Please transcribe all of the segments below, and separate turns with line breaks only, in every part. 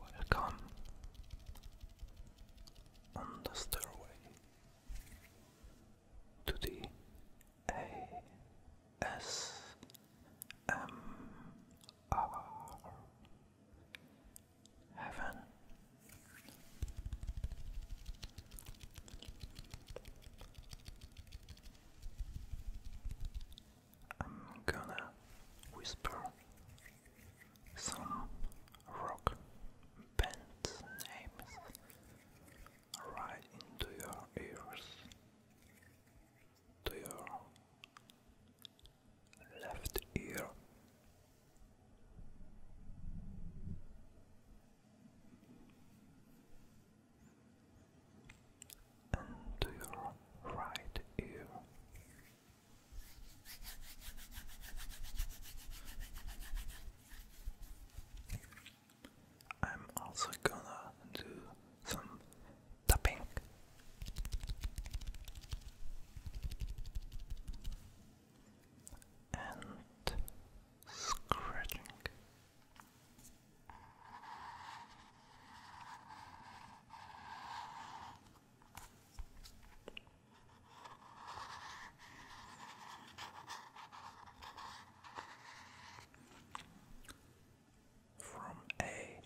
Welcome on the stairway to the ASMR M um, R Heaven. I'm gonna whisper some rock band names right into your ears to your left ear. And to your right ear, I'm also gonna do some tapping. And scratching from A,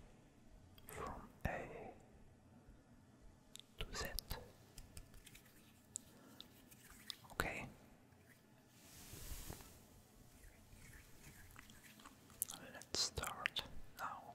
from A to Z. Okay. Let's start now.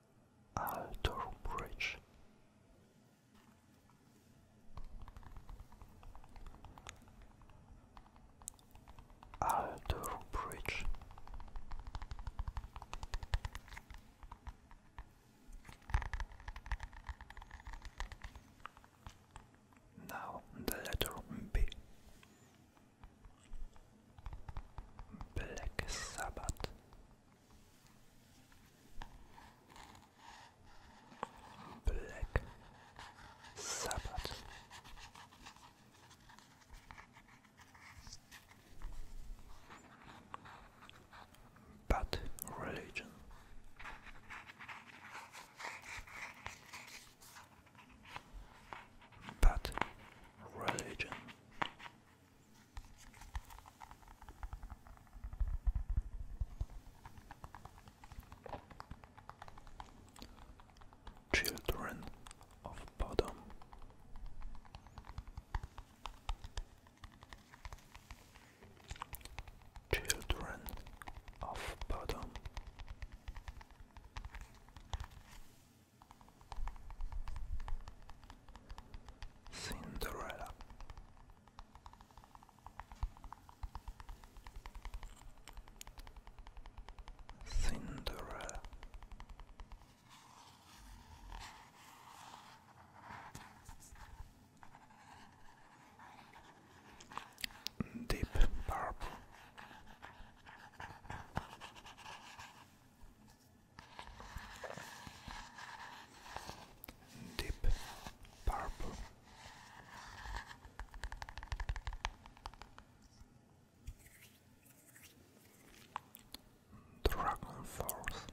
Altor Bridge. Altor Bridge. Now the letter B. Black Sabbath. Black Sabbath. But religion. But religion. Children of Bodom. Children of Bodom. Cinderella. Cinderella. Deep purple deep purple. Dragon Force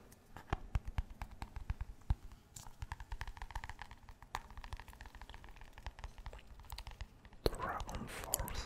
Dragon Force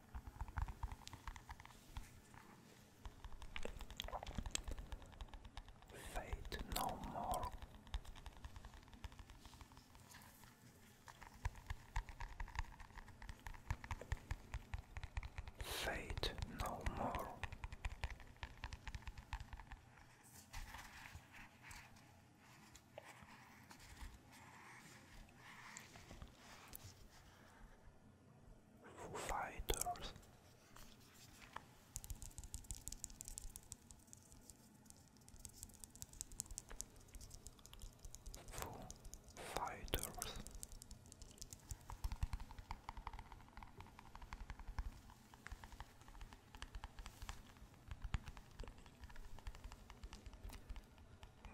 Fate no more. Fate no more. Foo Fighters. Foo Fighters.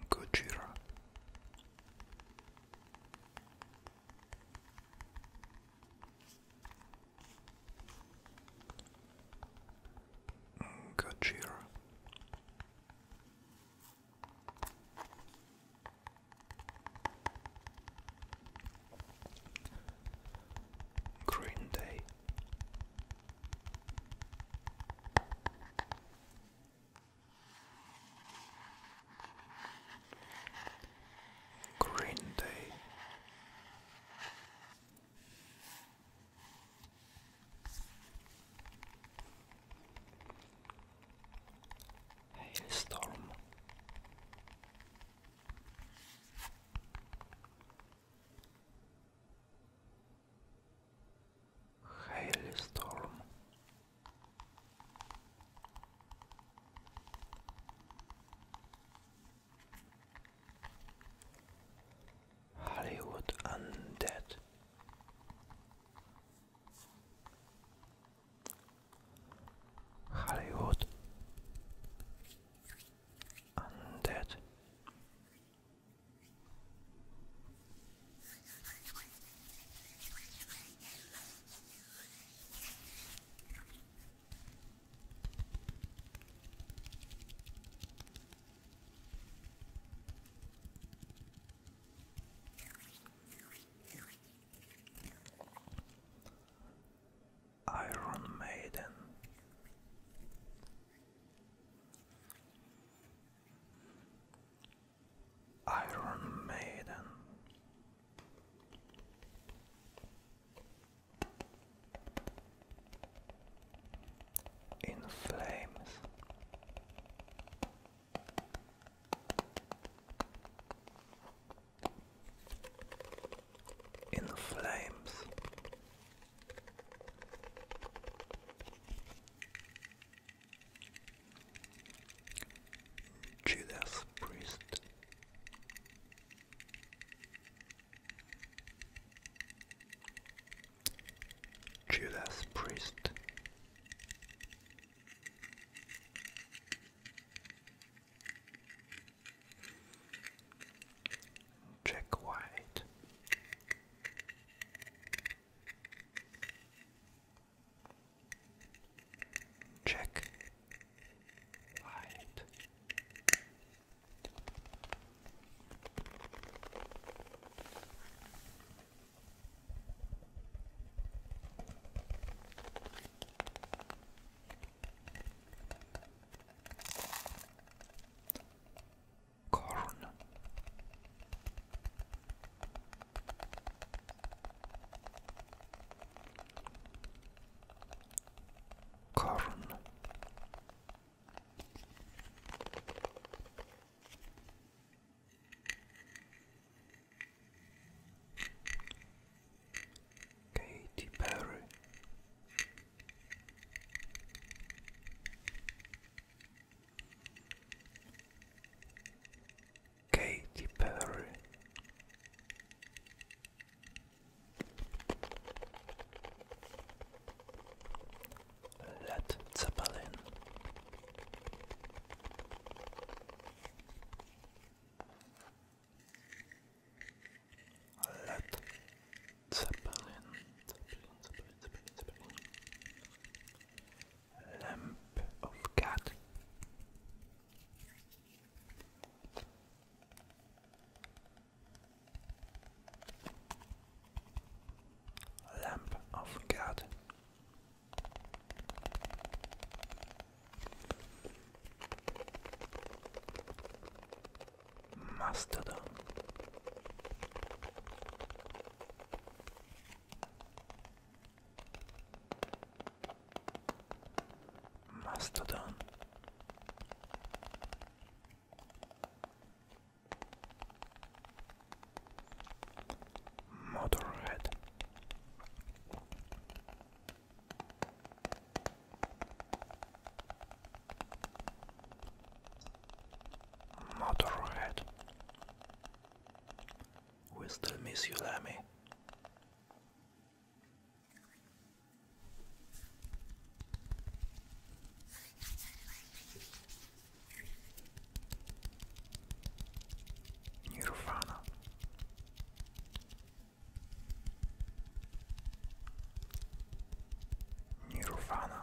Gojira. Gojira. Green Day Green Day. Hailstorm. Hailstorm. Hollywood Undead. Hollywood Undead. Iron Maiden. Iron Maiden. In flames. In flames. Judas Priest. Judas Priest. Jack White. Check. Right corn. Corn. Katy Perry. Katy Perry. Led Zeppelin. Led Zeppelin. Zeppelin, Zeppelin, Lamp of God. Lamp of God. Mastodon Mastodon. Motorhead. Motorhead we still miss you, Lamy. Nirvana. Nirvana.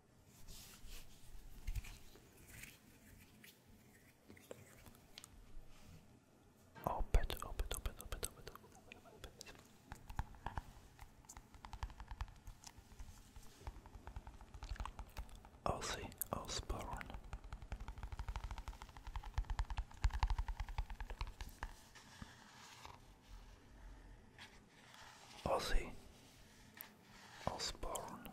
Open, open, open, open, open, open, open, open. Ozzy Ozzy Osbourne.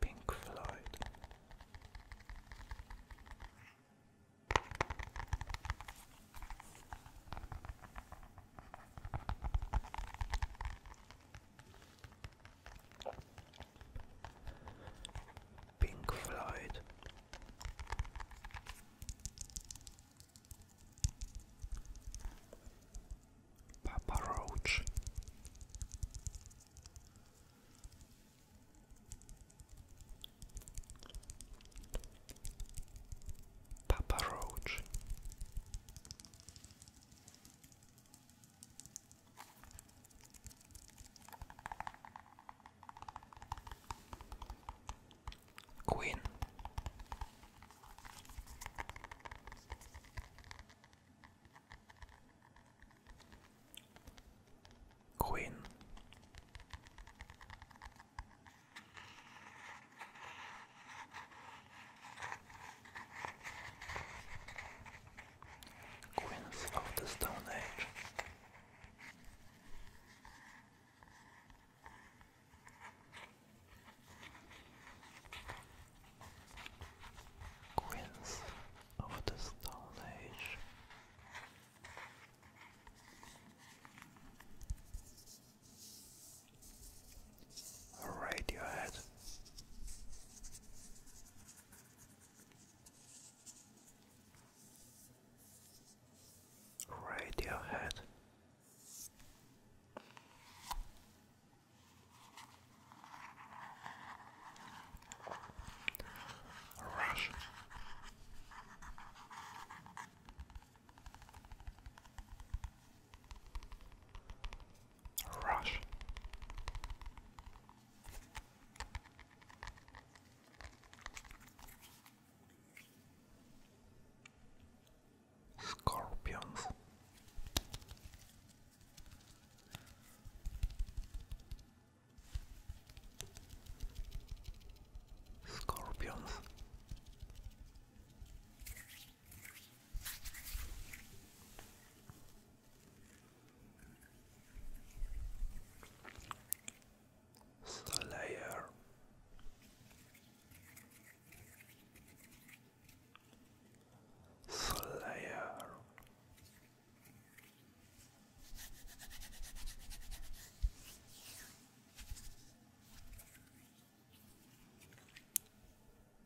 Pink Floyd. Pink Floyd. Papa Roach. Papa Roach. Queen. Queen. Queens of the Stone Age. Queens of the Stone Age. Radiohead. Radiohead. Rush. Rush. Scorpions. Scorpions. Slayer Slayer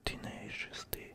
Tenacity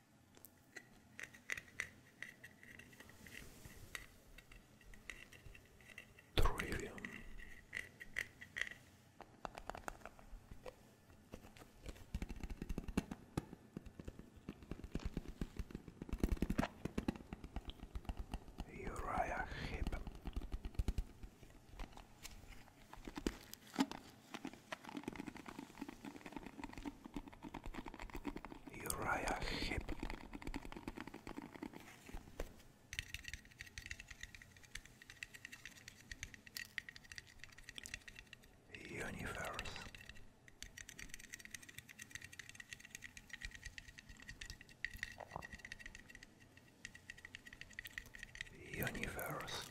Trillium. Uriah Heep. Uriah Heep. Universe Universe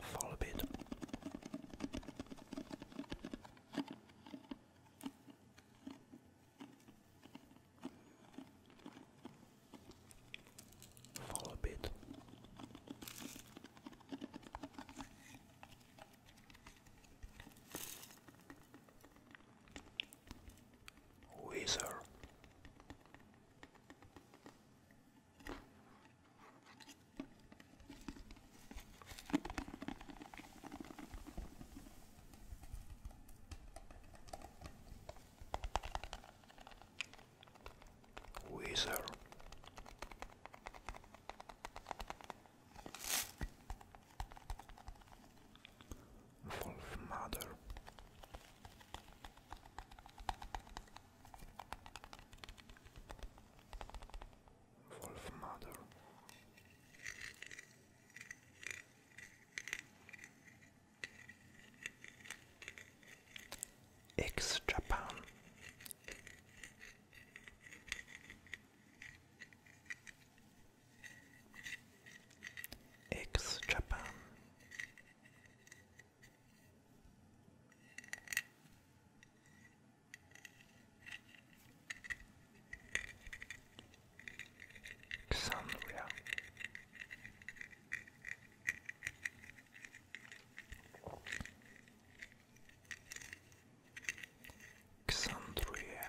Follow a bit. Fall a bit. Weezer Weezer Wolf Mother. Wolf Mother ex-Japan Xandria Xandria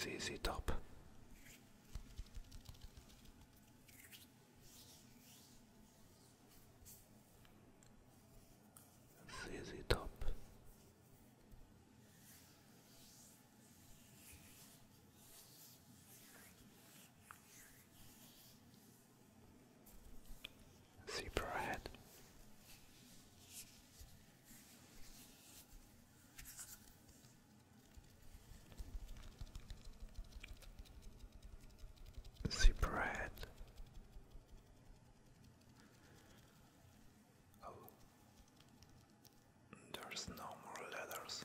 ZZ Top. ZZ Top. Zebra head. Zebra head. Oh, there's no more letters.